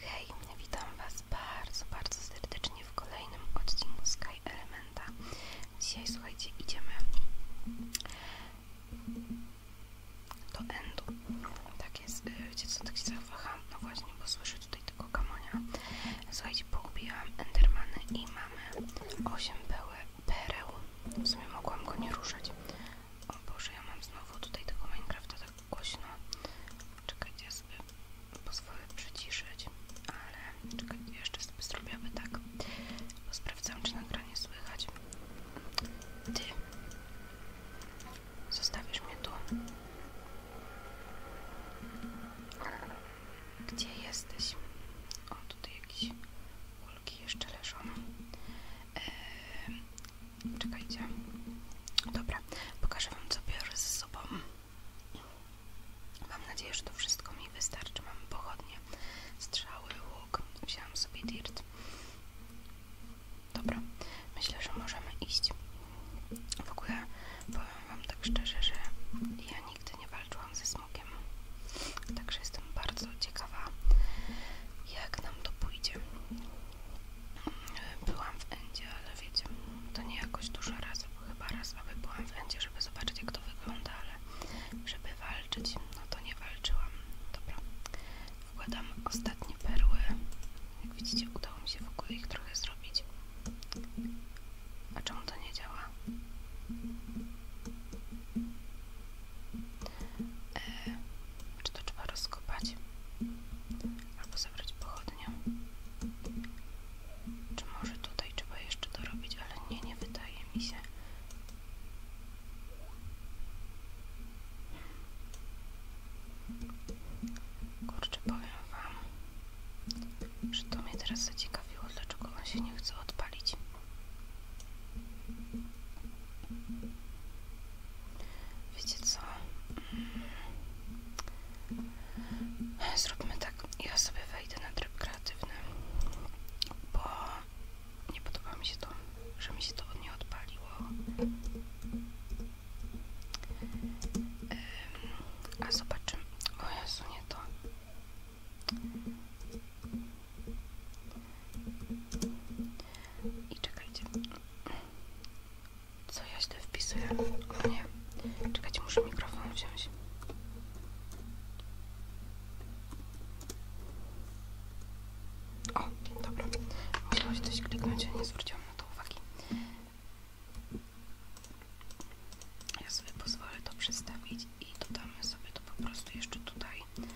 Hej, witam Was bardzo, bardzo serdecznie w kolejnym odcinku Sky Elementa. Dzisiaj, słuchajcie, idziemy do Endu. Tak jest, y, wiecie co, tak się zawaham? No właśnie, bo słyszę tutaj tego kamonia. Słuchajcie, poubijałam Endermany i mamy 8 pereł. W sumie mogłam go nie ruszać. O Boże, ja mam znowu tutaj tego Minecrafta tak głośno. Czekajcie, ja sobie pozwolę przyciszyć, ale czekajcie, jeszcze sobie zrobiłabym tak, bo sprawdzam, czy nagranie słychać. Ty zostawisz mnie tu. Gdzie jesteś? O, tutaj jakieś kulki jeszcze leżą. Eee, Czekajcie. Dobra, pokażę Wam, co biorę ze sobą. Mam nadzieję, że to wszystko mi wystarczy. Mam pochodnie, strzały, łuk. Wziąłam sobie dirt. Dobra, myślę, że możemy iść. W ogóle powiem Wam tak szczerze, że ja nigdy nie walczyłam ze smugiem. Także jestem bardzo ciekawa, jak nam to pójdzie byłam w Endzie, ale wiecie, to nie jakoś dużo razy, bo chyba raz aby byłam w Endzie, żeby zobaczyć jak to wygląda, ale żeby walczyć, no to nie walczyłam. Dobra, wkładam ostatnie perły. Jak widzicie, udało mi się w ogóle ich trochę zrobić. A czemu to nie działa? E, czy to trzeba rozkopać? Albo zabrać pochodnię? Czy może tutaj trzeba jeszcze dorobić? Ale nie, nie wydaje mi się. Kurczę, powiem wam, że to mnie teraz zaciekawiło, dlaczego on się nie chce odpalić. Wiecie co? Mm. Zróbmy tak. Ja sobie wejdę na tryb kreatywny, bo nie podoba mi się to, że mi się to od nie odpaliło. A zobaczymy. O Jezu, nie to. I czekajcie. Co ja źle wpisuję? O nie. Czekać. muszę mikrofon wziąć. O, dobra. Musiałaś coś kliknąć, a nie zwróciłam na to uwagi. Ja sobie pozwolę to przestawić i dodamy sobie to po prostu jeszcze tutaj. Mm,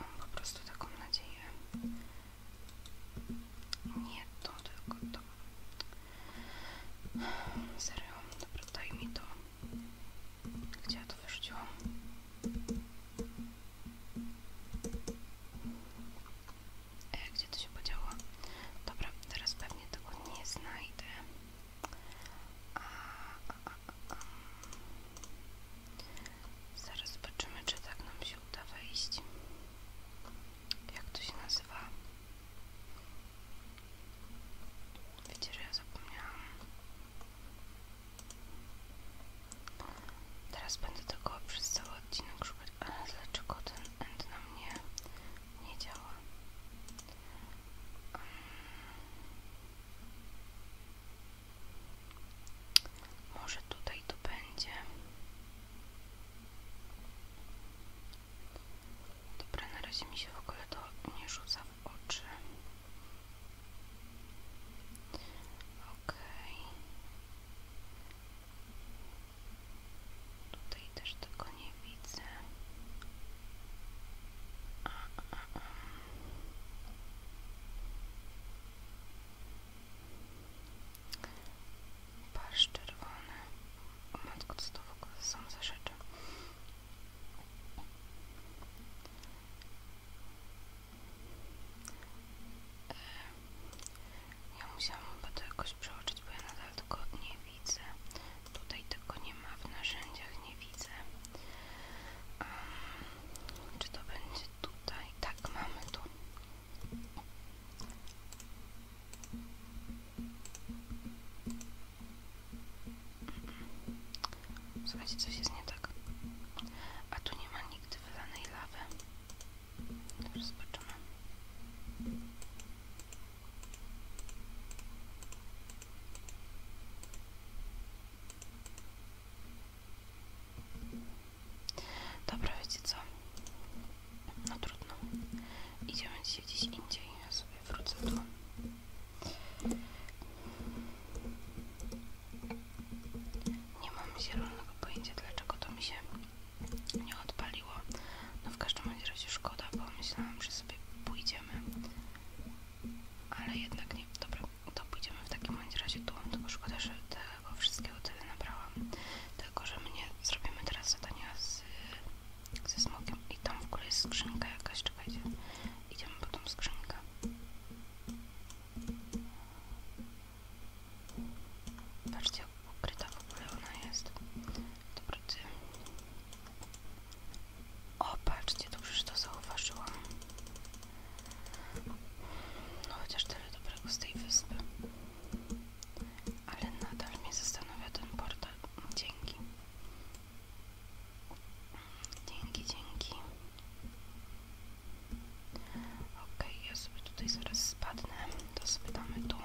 mam po prostu taką nadzieję. Nie to, tylko to. Serio, dobra, daj mi to. Gdzie ja to wyrzuciłam? E, gdzie to się podziało? Dobra, teraz pewnie tego nie znajdę. A, Zaraz zobaczymy, czy tak nam się uda wejść. Jak to się nazywa? Wiecie, że ja zapomniałam. Teraz będę tego przez cały odcinek szukać, ale dlaczego ten end na mnie nie działa? Um. Może tutaj to będzie. Dobra, na razie mi się w ogóle to nie rzuca w oczy. Okej. Tutaj też tego nie widzę. Pasz czerwony. O matko, co to w ogóle są za rzeczy? E, ja musiałam chyba to jakoś przeoczyć, bo ja nadal tego nie widzę. Tutaj tego nie ma w narzędziach, nie widzę. Um, czy to będzie tutaj, tak mamy tu. Słuchajcie, coś jest nie tak. A tu nie ma nigdy wylanej lawy. Teraz zobaczymy. Dobra, wiecie co? No trudno. Idziemy dzisiaj indziej. Ja sobie wrócę tu. Nie mam zielonego pojęcia, dlaczego to mi się nie odpaliło. No w każdym razie szkoda, bo myślałam, że sobie pójdziemy. Ale jednak nie. Dobra to pójdziemy w takim bądź razie tu, tylko szkoda, że tego wszystkiego tyle nabrałam. Tylko, że my nie zrobimy teraz zadania z, ze smokiem i tam w ogóle jest skrzynka jakaś, czekajcie. Idziemy po tą skrzynkę. Patrzcie, jak ukryta w ogóle ona jest. Dobra, ty. O, patrzcie, dobrze, że to zauważyłam. No chociaż tyle dobrego z tej wyspy. Ale nadal mnie zastanawia ten portal. Dzięki. Dzięki, dzięki. Ok, ja sobie tutaj zaraz spadnę. To spytamy tu.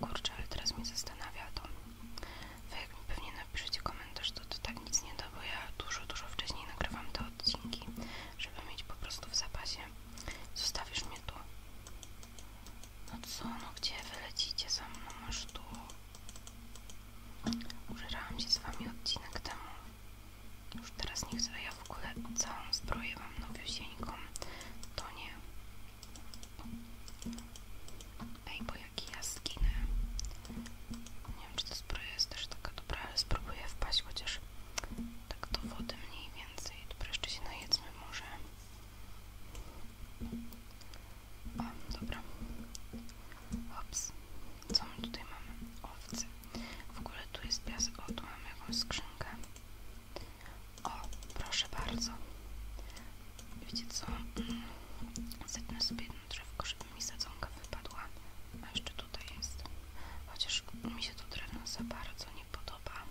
Kurczę, ale teraz mnie zastanawia to. Wy jak mi pewnie napiszecie komentarz, to to tak nic nie da, bo ja dużo, dużo wcześniej nagrywam te odcinki żeby mieć po prostu w zapasie. Zostawisz mnie tu. No co, no gdzie wylecicie za mną? Masz no tu. Użerałam się z wami odcinek temu. Już teraz nie chcę, ja w ogóle całą zbroję mam nowiusieńką. To nie. Ej, bo jak jaskinę nie wiem, czy to jest też taka dobra, ale spróbuję wpaść, chociaż tak do wody mniej więcej. Dobra, jeszcze się najedzmy może. O, dobra. Ops. Co my tutaj mamy? Owce. W ogóle tu jest piasek. O, tu mamy jakąś skrzynkę. O, proszę bardzo. Wiecie co? Mm, Zetnę sobie drzewko, żeby mi sadzonka wypadła. A jeszcze tutaj jest. Chociaż mi się to drewno za bardzo nie podoba.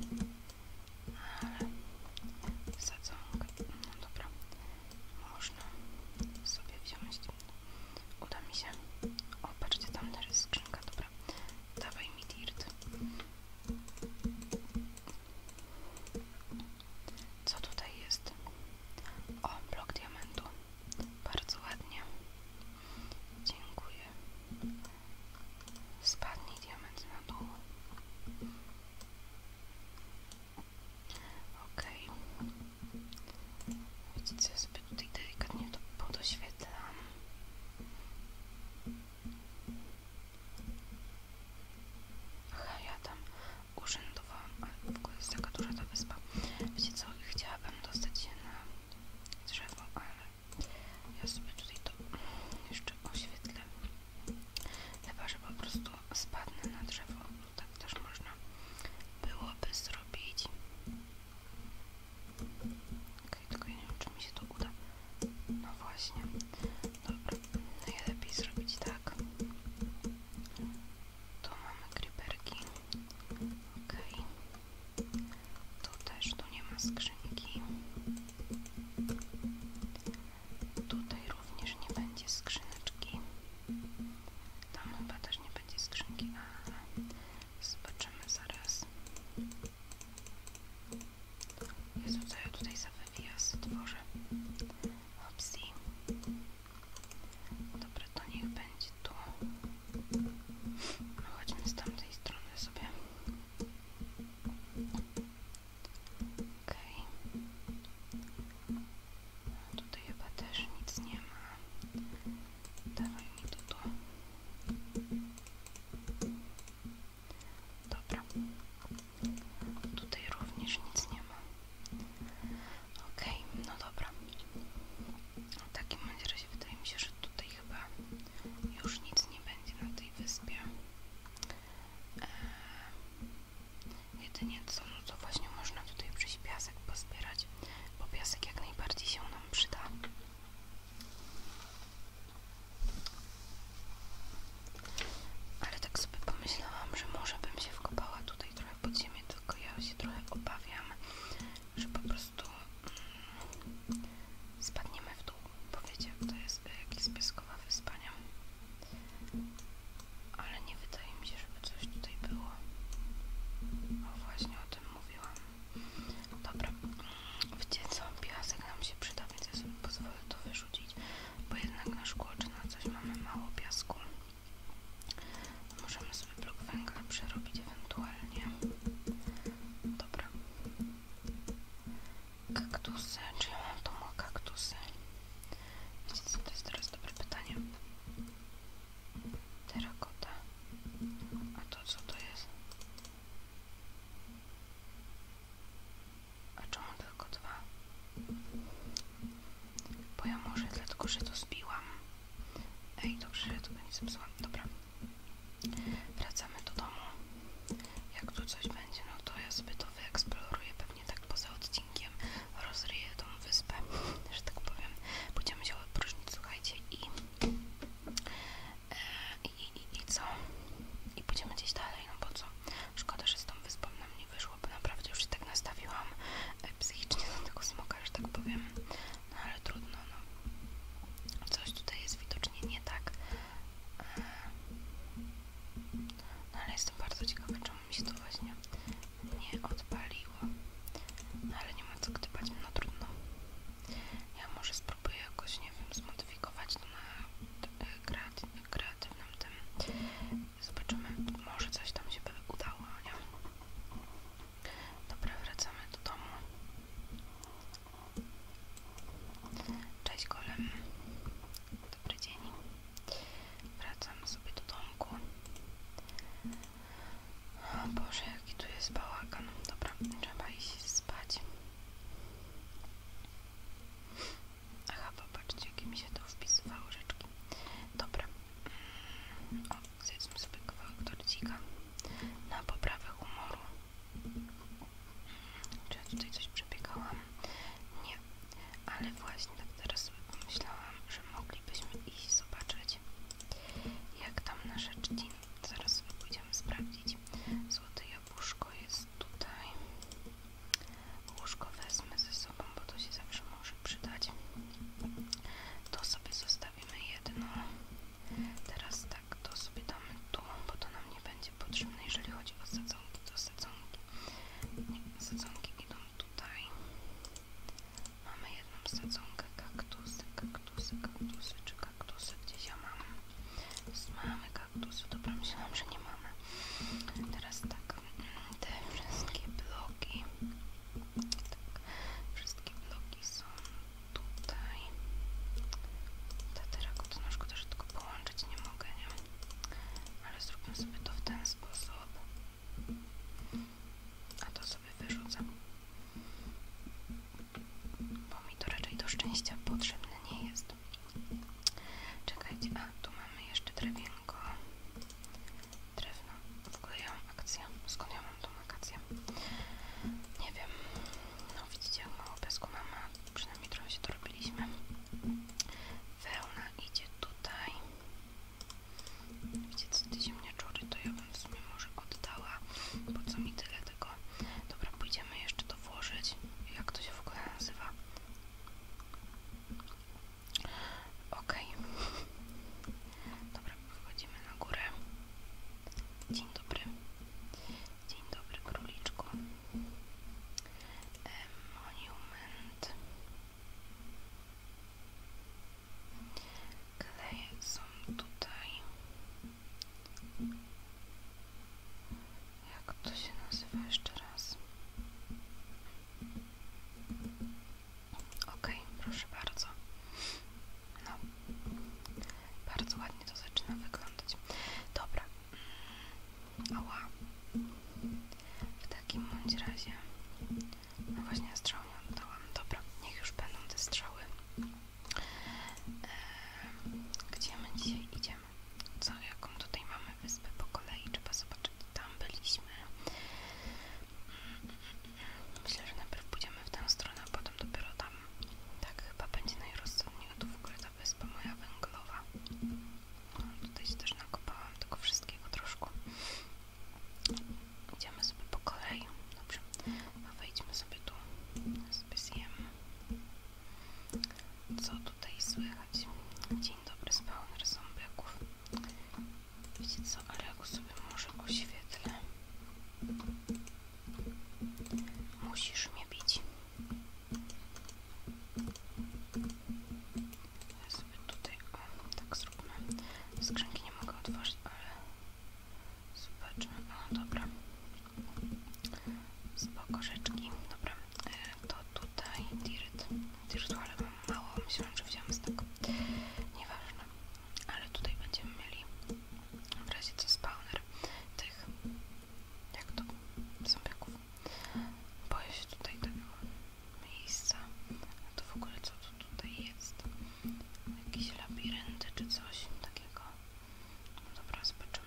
Ale sadzonka. No dobra. Można sobie wziąć. Uda mi się. O, patrzcie, tam też jest skrzynka. Dobra. Dawaj mi dirt. Co tutaj jest? O, blok diamentu. Bardzo ładnie. Dziękuję. Spadnij diament na dół. Okej. Okay. Widzicie, ja sobie tutaj delikatnie to podoświetlam. Hej, ja tam urzędowałam, ale w ogóle jest taka duża ta wyspa. Wiecie co, chciałabym dostać się drzewo, ale ja sobie tutaj to jeszcze oświetlę. Chyba, że po prostu spadnę na drzewo, tak też można byłoby zrobić. Okej, tylko ja nie wiem, czy mi się to uda. No właśnie. Dobra, najlepiej zrobić tak. Tu mamy kryperki. OK. Tu też, tu nie ma skrzynki. Tutaj również nie będzie skrzyneczki. Tam chyba też nie będzie skrzynki, ale zobaczymy zaraz. Jest co ja tutaj za wywias tworzę? Opsji. Dobra, to niech będzie tu. No, chodźmy z tamtej strony sobie. Okej. tutaj chyba też nic nie ma. Dawaj mi to tu. Dobra. Tutaj również nic nie ma. Okej, no dobra. W takim razie wydaje mi się, że tutaj chyba już nic nie będzie na tej wyspie. Eee, jedynie co, no to właśnie można tutaj przyjść piasek pozbierać, bo piasek jak najbardziej się nam przyda. Ale tak sobie pomyślałam, że może bym się wkopała tutaj trochę pod ziemię, tylko ja się trochę obawiam, że po prostu mm, spadniemy w dół, bo wiecie, to jest jakiś spiskowa wyspania. Ale nie wydaje mi się, żeby coś tutaj było. O, właśnie o tym mówiłam. Dobra, mm, wiecie co, piasek nam się przyda, więc ja sobie pozwolę to wyrzucić, bo jednak na szkło czy na coś mamy mało piasku. Możemy sobie blok węgla przerobić ewentualnie. Dobra. Kaktusy. Czy ja mam tu kaktusy? Wiecie co, to jest teraz dobre pytanie. Terakota. A to co to jest? A czemu tylko dwa? Bo ja może dlatego, że to zbiłam. Ej, dobrze, że tu nic psłam. Dobra. Wracamy do domu. Jak tu coś będzie, no to ja sobie to wyeksploruję pewnie tak poza odcinkiem. Rozryję tą wyspę, że tak powiem. Będziemy się odpróżnić, słuchajcie, i, e, i, i, i co? I pójdziemy gdzieś dalej, no bo co? Szkoda, że z tą wyspą nam nie wyszło, bo naprawdę już się tak nastawiłam e, psychicznie na tego smoka, że tak powiem. No ale trudno, no. Coś tutaj jest widocznie nie tak. Ehm. No ale jestem bardzo ciekawa, czemu mi się to właśnie nie odpaliło. No ale nie ma co gdybać, no trudno. Ja może spróbuję jakoś, nie wiem, zmodyfikować to na e, kreaty kreatywnym tym. Zobaczymy, może coś tam się by udało, nie? Dobra, wracamy do domu. Cześć golem. Dobry dzień. Wracamy sobie do domku. O Boże, jaki tu jest bałagan. Dobra, trzeba iść spać. Aha, popatrzcie, jakie mi się to wpisywały rzeczki. Dobra, o, zjedzmy sobie kawałek torcika na poprawę humoru. Czy ja tutaj coś przebiegałam? Nie, ale właśnie tak teraz sobie pomyślałam, że moglibyśmy iść zobaczyć, jak tam nasze czci. Zaraz sobie pójdziemy sprawdzić. Złote jabłuszko jest tutaj. Łóżko wezmę ze sobą, bo to się zawsze może przydać. To sobie zostawię mamy jedno. Teraz tak, to sobie damy tu, bo to nam nie będzie potrzebne, jeżeli chodzi o sadzonki, to sadzonki. Nie, sadzonki idą tutaj. Mamy jedną sadzonkę, kaktusy, kaktusy, kaktusy, czy kaktusy, gdzieś ja mam. Mamy kaktusy, dobra, myślałam, że nie mamy. Teraz tak, mm, te wszystkie bloki tak. Wszystkie bloki są tutaj. Ta terakotna szkoda, że tylko połączyć nie mogę, nie? Ale zróbmy sobie to w ten sposób. A to sobie wyrzucę. Bo mi to raczej do szczęścia potrzebne nie jest. Czekajcie, a tu mamy jeszcze drewienko. Drewno. W ogóle ja mam Skąd ja mam tą Nie wiem. No widzicie, jak mało no, pesku mamy. Przynajmniej trochę się dorobiliśmy. Wełna idzie tutaj. Widzicie, co te ziemniaczury, to ja bym w sumie może oddała. bo co mi tyle tego? Dobra, pójdziemy jeszcze to włożyć. Jak to się w ogóle nazywa? Okej. Dobra, wychodzimy na górę. Dzień dobry. Dzień dobry, króliczku. monument. Kleje są tutaj. Jak to się nazywa jeszcze raz? Ok, proszę bardzo. No, bardzo ładnie to zaczyna wyglądać. Dobra. Oła. W takim bądź razie. No właśnie strzał nie oddałam. Dobra, niech już będą te strzały. Gdzie my dzisiaj idziemy? Co, jaką tutaj mamy wyspę po kolei? Trzeba zobaczyć. Tam byliśmy. Myślę, że najpierw pójdziemy w tę stronę, a potem dopiero tam. Tak chyba będzie najrozsądniej, tu w ogóle ta wyspa moja węglowa. No, tutaj się też nakopałam tylko wszystkiego troszkę. Idziemy sobie po kolei. Dobrze, a no, wejdźmy sobie tu. Sobie zjemy. Co tutaj słychać? Dzień dobry, spełnier ząbiaków. Wiecie co, ale jak sobie może Musisz mnie bić. Ja sobie tutaj, o, tak zróbmy. Skrzynki nie mogę otworzyć, ale zobaczmy. O, dobra. Spoko rzeczki. Dobra, e, to tutaj dirt. Dirtu, ale mam mało. Myślałam, że wziąłem z tego. Nieważne ale tutaj będziemy mieli w razie co spawner tych jak to zombiaków boję się tutaj tego miejsca a to w ogóle co tu tutaj jest Jakiś labirynt czy coś takiego no dobra zobaczymy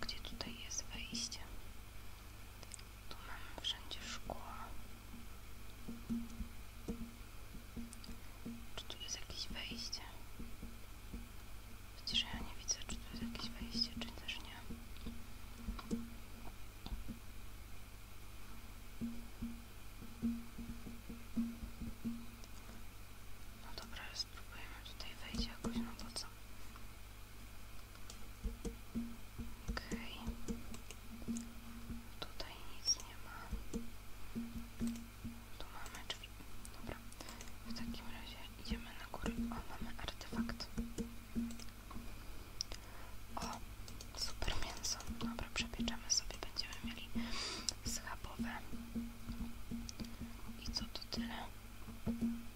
gdzie tutaj jest wejście tu mamy wszędzie szkło czy tu jest jakieś wejście? że ja nie widzę, czy tu jest jakieś wejście, czy też nie. No dobra, spróbujemy tutaj wejść jakoś, na bo co? Okej. Tutaj nic nie ma. Tu mamy drzwi. Dobra. W takim razie idziemy na górę. O, mamy artefakt. O, super mięso. Dobra, przepieczemy sobie. Będziemy mieli schabowe. I co to tyle?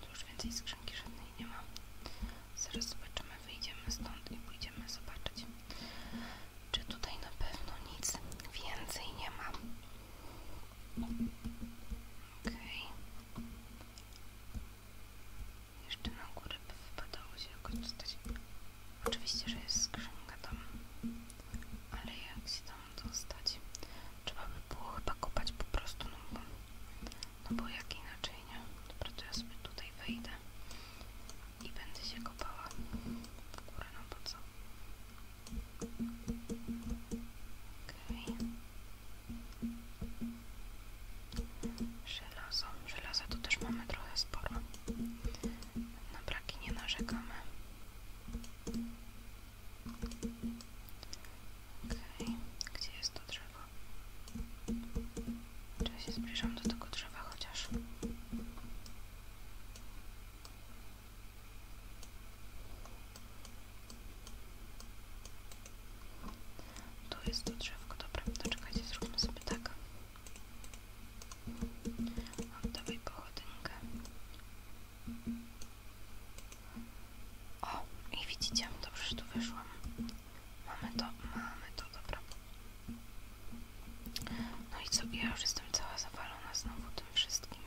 Tu już więcej skrzynki żadnej nie ma. Zaraz zobaczymy, wyjdziemy stąd i pójdziemy zobaczyć. Czy tutaj na pewno nic więcej nie ma? Ok. Jeszcze na górę by wypadało się jakoś dostać. Oczywiście, że jest skrzynka tam. Ale jak się tam dostać? Trzeba by było chyba kopać po prostu, no bo, no bo jak inaczej, nie? Dobra, to ja sobie tutaj wejdę i będę się kopała w górę, na po co? Okej. Żelaza tu też mamy trochę sporo. Na braki nie narzekamy. Okej. Gdzie jest to drzewo? Czy ja się zbliżam do tego drzewa chociaż? Tu jest to drzewko, dobra, doczekajcie, zróbmy sobie tak. Oddawaj pochodynkę. O, i widzicie, dobrze, że tu wyszłam. Mamy to, mamy to, dobra. No i co? Ja już jestem cała zawalona znowu tym wszystkim.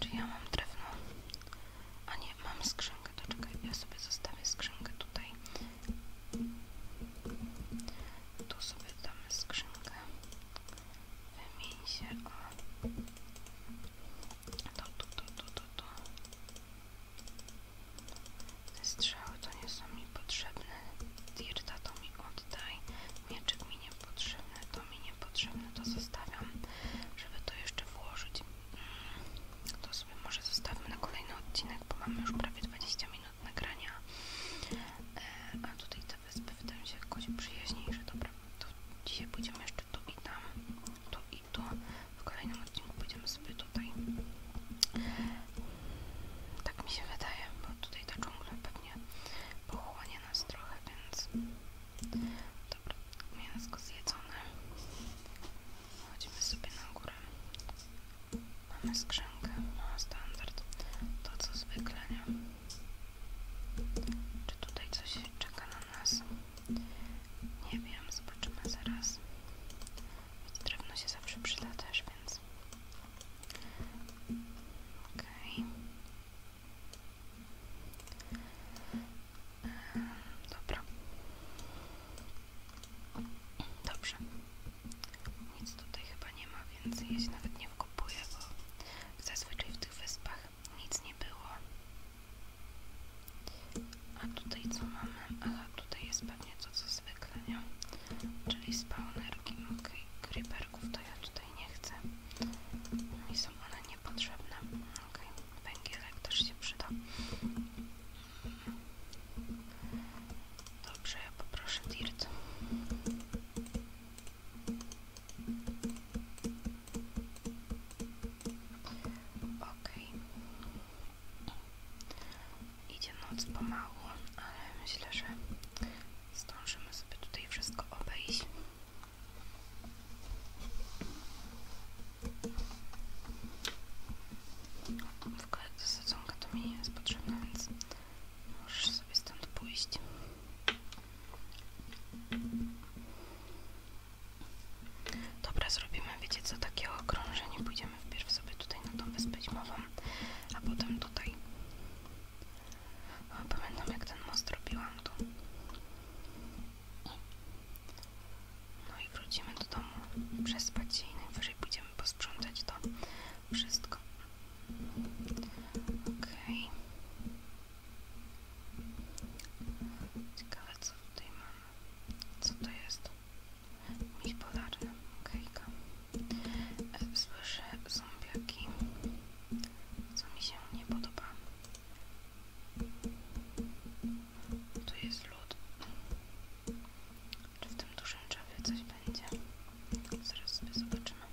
Czy ja mam drewno? A nie, mam skrzynkę. To czekaj, ja sobie zostawię skrzynkę tutaj. Tu sobie damy skrzynkę. Wymień się o... To, to, to, to, to, te strzały to nie są mi potrzebne. Dirta to mi oddaj. Mieczyk mi niepotrzebny, to mi niepotrzebne, to zostawiam. Żeby to jeszcze włożyć. Mm, to sobie może zostawmy na kolejny odcinek, bo mamy już prawie 20 minut nagrania. E, a tutaj te wyspy wydają się jakoś przyjaźniejsze. Dobra, to dzisiaj pójdziemy jeszcze tu i tam, tu i tu. W kolejnym odcinku pójdziemy sobie tu tak mi się wydaje, bo tutaj ta dżungla pewnie pochłonie nas trochę, więc... Dobra, mięsko zjedzone. Chodzimy sobie na górę. Mamy skrzynkę, no standard. To co zwykle, nie? Czy tutaj coś czeka na nas? Nie wiem, zobaczymy zaraz. Drewno się zawsze przyda też, więc Okej. Okay. Dobra. Dobrze. Nic tutaj chyba nie ma, więc ja się nawet nie wkopuję, bo zazwyczaj w tych wyspach nic nie było. A tutaj co mamy? tutaj jest pewnie to co zwykle, nie? Czyli spawnerki, ok, creeperków to ja tutaj nie chcę. Mi no są one niepotrzebne. Ok, węgielek też się przyda. Dobrze, ja poproszę dirt. Okej, Idzie noc pomału, ale myślę, że zdążymy sobie tutaj wszystko obejść. W ogóle ta sadzonka to jest potrzebna, więc możesz sobie stąd pójść. Dobra, zrobimy, wiecie co, takie okrążenie pójdziemy pójdziemy wpierw sobie tutaj na tą wyspę zimową, a potem tutaj. O, pamiętam jak ten most robiłam tu. No i wrócimy do domu, przez się i najwyżej pójdziemy posprzątać to wszystko. Okej. Ciekawe co tutaj mamy. Co to jest? bipolarna okejka e, słyszę zombiaki co mi się nie podoba tu jest lód czy w tym dużym drzewie coś będzie zaraz sobie zobaczymy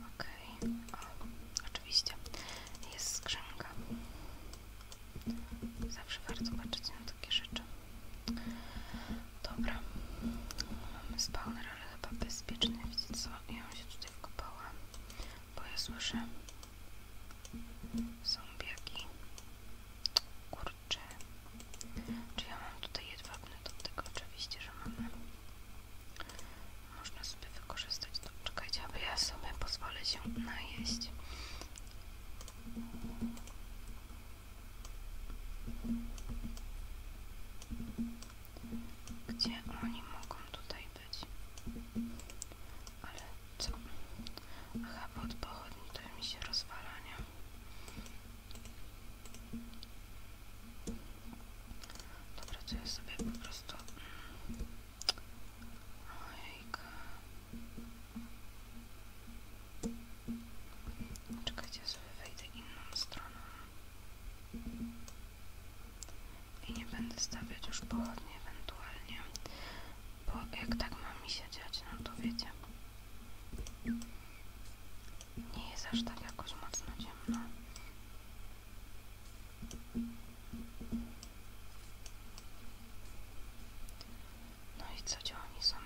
ok, oczywiście jest skrzynka. Zawsze bardzo patrzeć na takie rzeczy. Dobra, mamy spawner, ale chyba bezpieczny. Widzicie co? Ja się tutaj wkopałam, bo ja słyszę biaki. Kurczę. Czy ja mam tutaj jedwabny? To tego oczywiście, że mamy można sobie wykorzystać. No, czekajcie, aby ja sobie pozwolę się najeść. Gdzie oni mogą tutaj być? Ale co? Aha, bo od pochodni to mi się rozwalania nie? to ja sobie po prostu Ojejka. Czekajcie, wejdę inną stroną. I nie będę stawiać już pochodnie ewentualnie. Bo jak tak ma mi się dziać, no to wiecie. Nie jest aż tak jakoś mocno ciemno. No i co, gdzie oni są?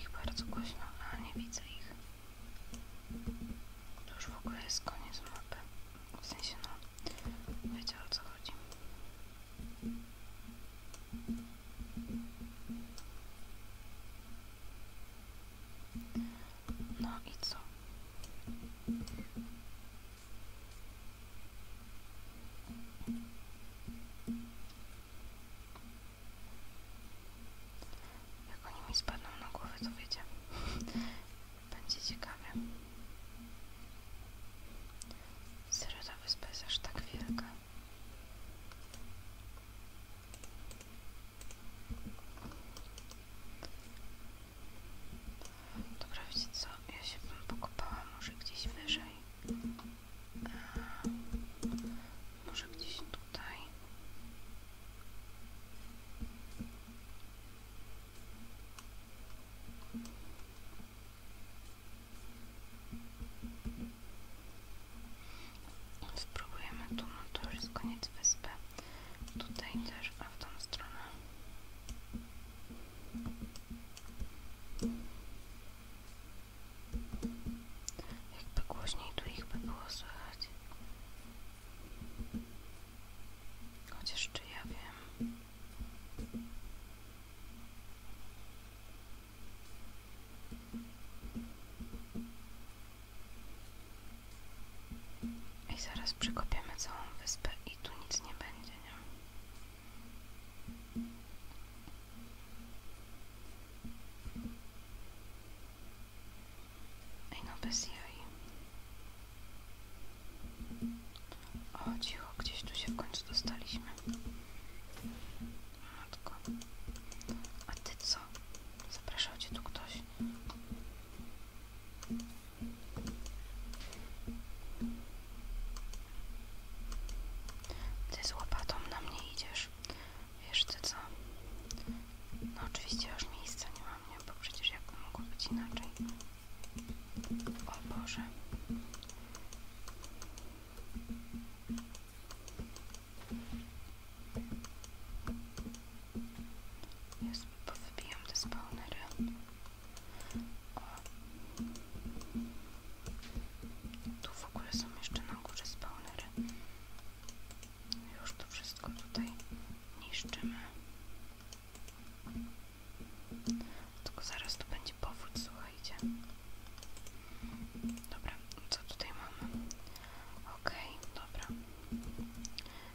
ich bardzo głośno, a nie widzę ich. To już w ogóle jest koniec W sensie, no, wiecie o co no i co? Jak oni mi spadną na głowę, to wiecie. Będzie ciekawie. Serio ta jest aż tak wielka. Dobra, wiecie co? Ja się bym pokopała może gdzieś wyżej. A, e, może gdzieś tutaj. Spróbujemy tu, no to już jest koniec wyspy tutaj też, a w tą stronę jakby głośniej tu ich by było słychać chociaż czy ja wiem i zaraz przykopiemy całą wyspę i tu nic nie będzie, nie? Ej no bez O cicho, gdzieś tu się w końcu dostaliśmy. Matko. A ty co? Zapraszał cię tu ktoś. Ty z łopatą na mnie idziesz. Wiesz ty co? No oczywiście już miejsca nie mam, nie? Bo przecież jak to mogło być inaczej? O Boże. Ja sobie powybijam te Tu w ogóle są jeszcze na górze spawnery. Już to wszystko tutaj niszczymy. Tylko zaraz tu będzie powód słuchajcie. Dobra, co tutaj mamy? ok dobra.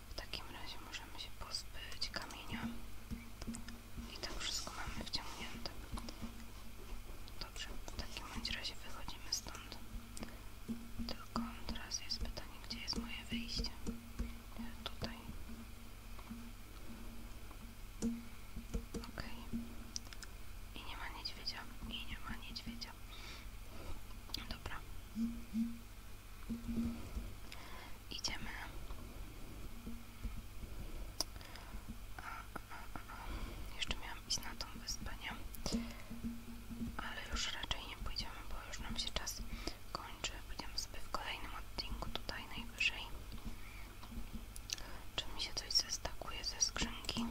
W takim razie możemy się pozbyć kamienia. I tak wszystko mamy wciągnięte. Dobrze, w takim razie wychodzimy stąd. Tylko teraz jest pytanie, gdzie jest moje wyjście? Tutaj. Okej. I nie ma niedźwiedzia. I nie ma niedźwiedzia. Dobra. Idziemy. A, a, Jeszcze miałam iść na tą wyspę, nie? Ale już raczej nie pójdziemy, bo już nam się czas kończy. Będziemy sobie w kolejnym odcinku tutaj najwyżej. Czy mi się coś zestakuje ze skrzynki?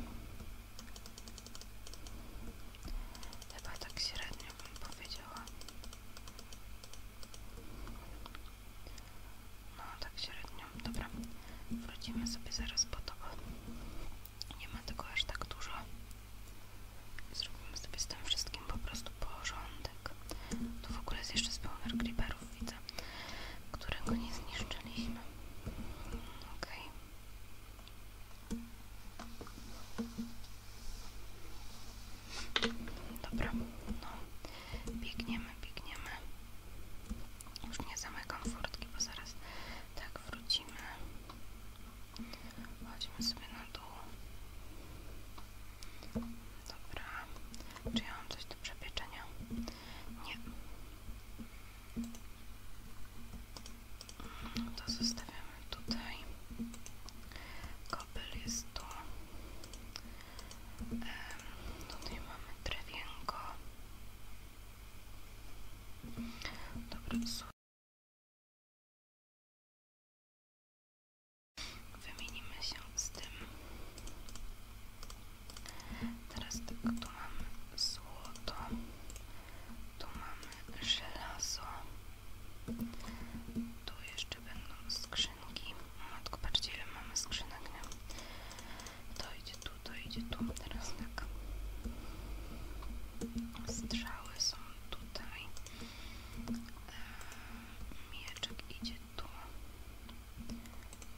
Chyba tak średnio bym powiedziała. No tak średnio. Dobra, Wracimy sobie zaraz po to, bo nie ma tego aż tak dużo. Zrobimy sobie z tym wszystkim po prostu porządek. Tu w ogóle jest jeszcze spełner creeperów, widzę, którego nie zniszczyliśmy. Okej. Dobra, no biegniemy, biegniemy. Już nie zamykam furtki, bo zaraz tak wrócimy. Chodźmy sobie na dół. Dobra. Czy ja mam coś do przepieczenia? Nie. To zostawiamy tutaj kopel jest tu tutaj mamy drewienko dobra, wymienimy się z tym teraz tak, tu mamy złoto tu mamy żelazo. Tu jeszcze będą skrzynki. Matko, patrzcie ile mamy skrzynek, nie? To idzie tu, to idzie tu. Teraz tak. Strzały są tutaj. Eee, mieczek idzie tu.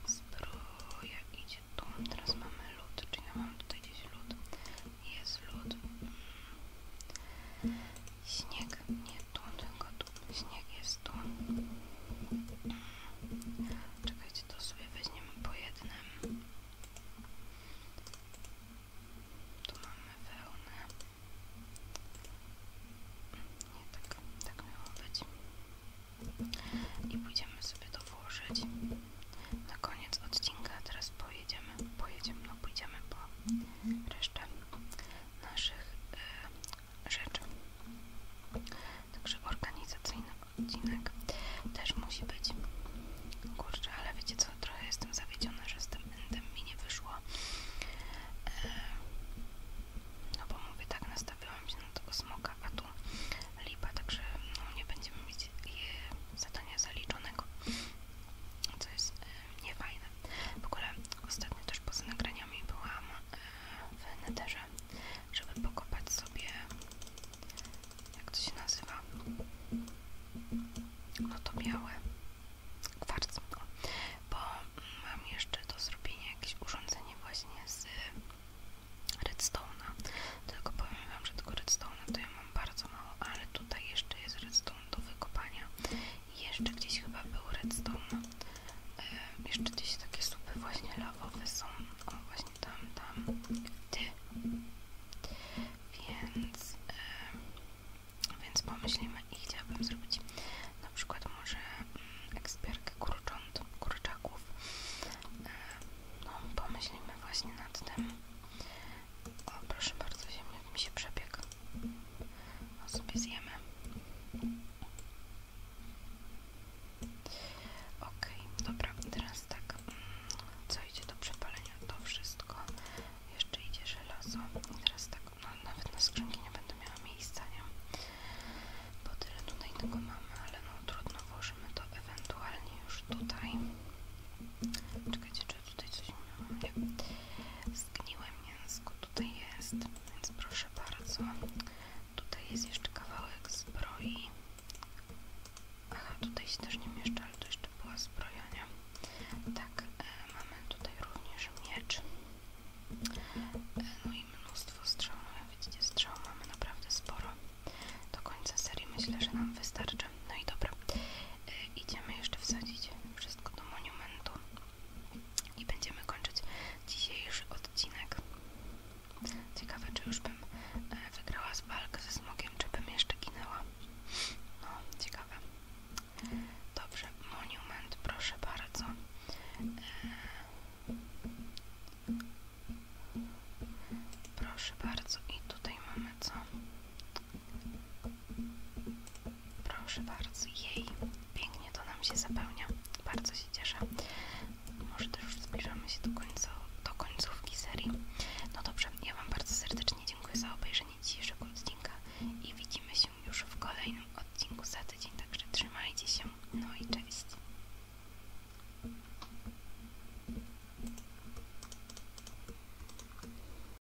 Zbroja idzie tu. Teraz mamy lód, czyli nie mam tutaj gdzieś lód jest lód. Śnieg nie tu, tylko tu. Śnieg jest tu. Czekajcie, to sobie weźmiemy po jednym. Tu mamy wełnę. Nie tak, tak miało być. I pójdziemy sobie to włożyć. Na koniec odcinka teraz po pojedziemy, pojedziemy, no po reszcie naszych e, rzeczy. Także organizacyjny odcinek też musi być. Kurczę, ale wiecie co, trochę jestem zawiedziona, że z tym endem mi nie wyszło. E, no bo mówię tak, nastawiłam się na tego smoka, a tu lipa, także no nie będziemy mieć zadania zaliczonego. Co jest e, niefajne fajne. W ogóle ostatnio też poza nagraniami byłam e, w Netherze, żeby pokopać sobie, jak to się nazywa, no to białe, kwarc, bo mam jeszcze do zrobienia jakieś urządzenie właśnie z redstone'a, tylko powiem wam, że tego redstone'a to ja mam bardzo mało, ale tutaj jeszcze jest redstone do wykopania jeszcze gdzieś chyba był redstone. E, jeszcze gdzieś takie słupy właśnie lawowe są. właśnie tam, tam. Ty. Więc, e, więc pomyślimy i chciałabym zrobić na przykład może yy, kurcząt, kurczaków. E, no, pomyślimy właśnie nad tym. O, proszę bardzo, ziemniak mi się przebiegł. O, sobie zjemy. Okej, dobra, teraz tak. Mm, co idzie do przepalenia? To wszystko. Jeszcze idzie żelazo. I teraz tak, no, nawet na skrzynki nie będę miała miejsca, nie? Bo tyle tutaj tego mamy, ale no trudno, włożymy to ewentualnie już tutaj. Czekajcie, czy tutaj coś miałam? Nie zgniłe mięsko tutaj jest, więc proszę bardzo. Tutaj jest jeszcze kawałek zbroi. Aha, tutaj się też nie mieszczę, ale to jeszcze była zbrojenia. Tak, e, mamy tutaj również miecz. E, no i mnóstwo strzał. No jak widzicie, strzał mamy naprawdę sporo. Do końca serii myślę, że nam wystarczy. No i dobra. E, idziemy jeszcze wsadzić wszystko do monumentu i będziemy kończyć dzisiejszy odcinek. Ciekawe, czy już bym e, wygrała z walkę ze smogiem, czy bym jeszcze ginęła. No, ciekawe. Dobrze, monument, proszę bardzo. E, proszę bardzo, i tutaj mamy co? Proszę bardzo, jej, pięknie to nam się zapełnia, bardzo się cieszę. Może też już zbliżamy się do, końca, do końcówki serii. No dobrze, ja Wam bardzo serdecznie dziękuję za obejrzenie dzisiejszego odcinka i widzimy się już w kolejnym odcinku za tydzień, także trzymajcie się, no i cześć.